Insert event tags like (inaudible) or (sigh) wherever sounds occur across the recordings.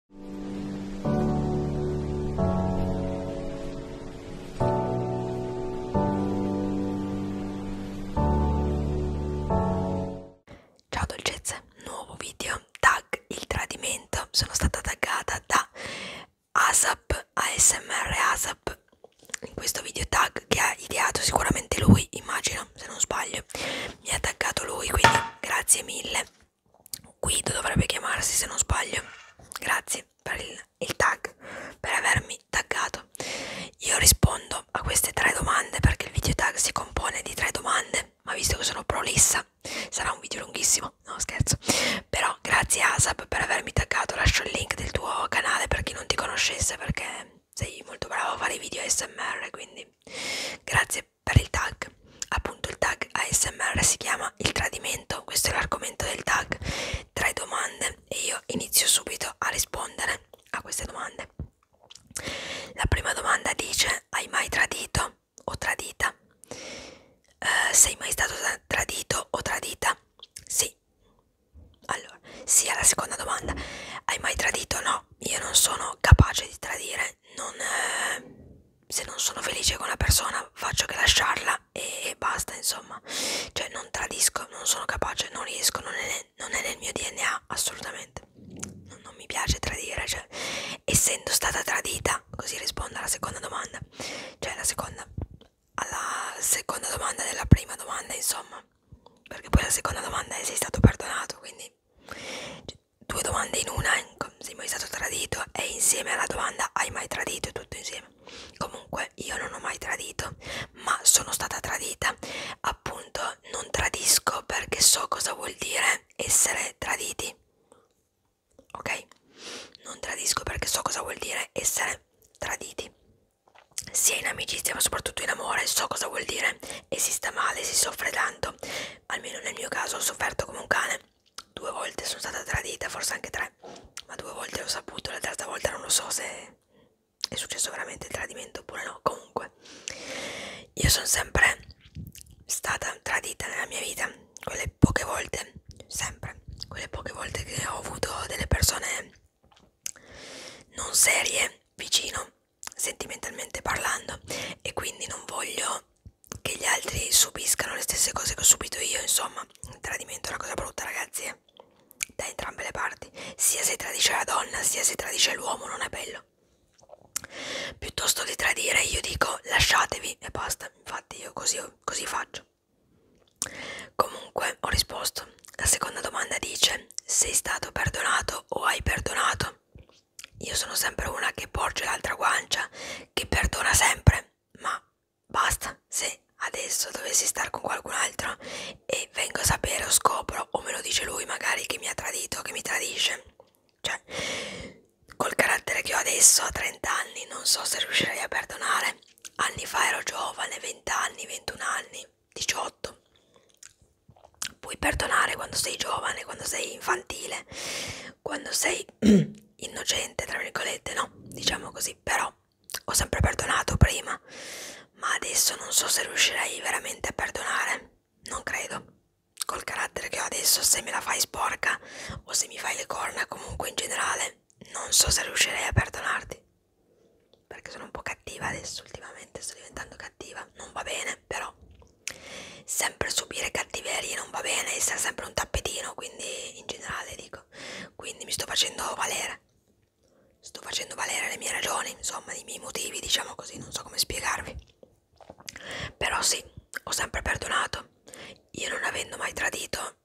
Ciao dolcezze, nuovo video tag il tradimento. Sono stata taggata da ASAP ASMR ASAP in questo video tag che ha ideato sicuramente lui, immagino, se non sbaglio. Mi ha taggato lui, quindi grazie mille. Guido dovrebbe chiamarsi se non sbaglio. Grazie per il, il tag, per avermi taggato. Io rispondo a queste tre domande perché il video tag si compone di tre domande, ma visto che sono prolissa sarà un video lunghissimo, no scherzo. Però grazie Asap per avermi taggato, lascio il link del tuo canale per chi non ti conoscesse perché sei molto bravo a fare video ASMR, quindi grazie per il tag appunto il tag ASMR si chiama il tradimento questo è l'argomento del tag tre domande e io inizio subito a rispondere a queste domande la prima domanda dice hai mai tradito o tradita uh, sei mai stato tradito o tradita sì allora sia sì, la seconda domanda hai mai tradito o no io non sono capace di tradire, non, eh, se non sono felice con una persona faccio che lasciarla e, e basta insomma, cioè non tradisco, non sono capace, non riesco, non è, non è nel mio DNA assolutamente, non, non mi piace tradire, cioè essendo stata tradita, così rispondo alla seconda domanda, cioè la seconda, alla seconda domanda della prima domanda insomma, perché poi la seconda domanda è sei stato perdonato, quindi cioè, due domande in una, sei mai stato tradito e insieme alla domanda hai mai tradito, tutto insieme. Comunque io non ho mai tradito, ma sono stata tradita, appunto non tradisco perché so cosa vuol dire essere traditi, ok? Non tradisco perché so cosa vuol dire essere traditi sia in amicizia ma soprattutto in amore so cosa vuol dire e si sta male, si soffre tanto almeno nel mio caso ho sofferto come un cane due volte sono stata tradita, forse anche tre ma due volte l'ho saputo, la terza volta non lo so se è successo veramente il tradimento oppure no comunque io sono sempre stata tradita nella mia vita quelle poche volte sempre quelle poche volte che ho avuto delle persone non serie vicino sentimentalmente parlando e quindi non voglio che gli altri subiscano le stesse cose che ho subito io insomma il tradimento è una cosa brutta ragazzi eh? da entrambe le parti sia se tradisce la donna sia se tradisce l'uomo non è bello piuttosto che tradire io dico lasciatevi e basta infatti io così, così faccio Comunque ho risposto. La seconda domanda dice: Sei stato perdonato o hai perdonato? Io sono sempre una che porge l'altra guancia, che perdona sempre, ma basta. Se adesso dovessi stare con qualcun altro e vengo a sapere o scopro, o me lo dice lui magari che mi ha tradito, che mi tradisce, cioè col carattere che ho adesso a 30 anni non so se riuscirei a perdonare anni fa ero giovane, 20 anni, 21 anni, 18. Puoi perdonare quando sei giovane, quando sei infantile, quando sei (clears throat) innocente, tra virgolette, no? Diciamo così, però ho sempre perdonato prima, ma adesso non so se riuscirei veramente a perdonare. Non credo. Col carattere che ho adesso, se me la fai sporca o se mi fai le corna, comunque in generale, non so se riuscirei a perdonarti perché sono un po' cattiva adesso ultimamente sto diventando cattiva non va bene però sempre subire cattiverie non va bene essere sempre un tappetino quindi in generale dico quindi mi sto facendo valere sto facendo valere le mie ragioni insomma i miei motivi diciamo così non so come spiegarvi però sì ho sempre perdonato io non avendo mai tradito,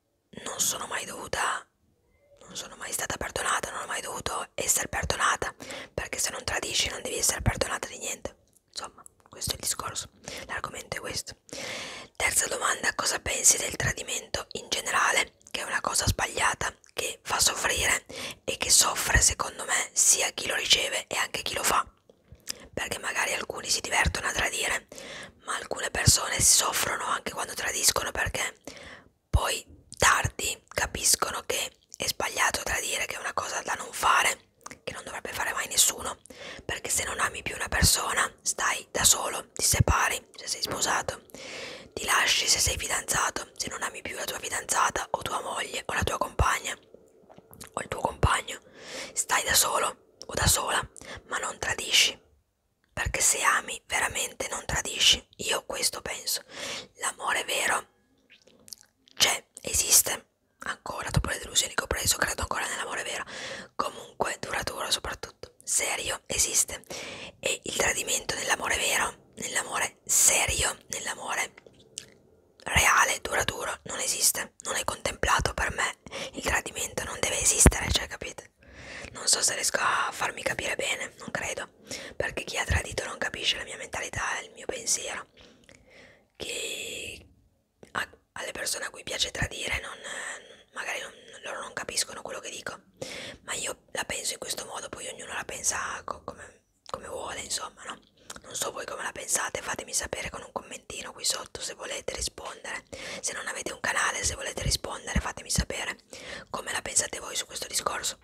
non sono mai dovuta, non sono mai stata perdonata, non ho mai dovuto essere perdonata, perché se non tradisci non devi essere perdonata di niente. Insomma, questo è il discorso, l'argomento è questo. Terza domanda, cosa pensi del tradimento in generale, che è una cosa sbagliata, che fa soffrire e che soffre secondo me sia chi lo riceve e anche chi lo fa? perché magari alcuni si divertono a tradire, ma alcune persone si soffrono anche quando tradiscono perché poi tardi capiscono che è sbagliato tradire, che è una cosa da non fare, che non dovrebbe fare mai nessuno, perché se non ami più una persona stai da solo, ti separi se sei sposato, ti lasci se sei fidanzato, se non ami più la tua fidanzata o tua moglie o la tua compagna o il tuo compagno, stai da solo o da sola, ma non tradisci. Perché se ami veramente non tradisci. Io questo penso. L'amore vero c'è, esiste. Ancora dopo le delusioni che ho preso, credo ancora nell'amore vero. Comunque duratura soprattutto. Serio esiste. E il tradimento nell'amore vero, nell'amore serio, nell'amore reale, dura duro, non esiste, non è contemplato per me, il tradimento non deve esistere, cioè capite? Non so se riesco a farmi capire bene, non credo, perché chi ha tradito non capisce la mia mentalità e il mio pensiero. Chi a, alle persone a cui piace tradire non, magari non, loro non capiscono quello che dico, ma io la penso in questo modo, poi ognuno la pensa co come come vuole insomma no non so voi come la pensate fatemi sapere con un commentino qui sotto se volete rispondere se non avete un canale se volete rispondere fatemi sapere come la pensate voi su questo discorso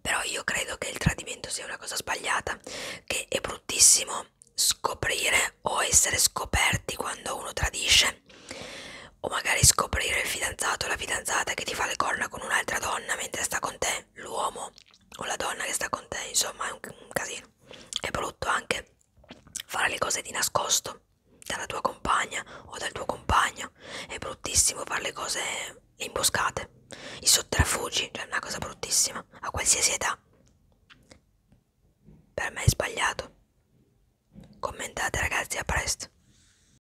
però io credo che il tradimento sia una cosa sbagliata che è bruttissimo scoprire o essere scoperti quando uno tradisce o magari scoprire il fidanzato o la fidanzata che ti fa le corna con un'altra donna mentre sta con te te l'uomo o la donna che sta con te, insomma è un, un casino. È brutto anche fare le cose di nascosto dalla tua compagna o dal tuo compagno, è bruttissimo fare le cose imboscate, i sotterfugi, cioè è una cosa bruttissima a qualsiasi età. Per me è sbagliato. Commentate ragazzi, a presto.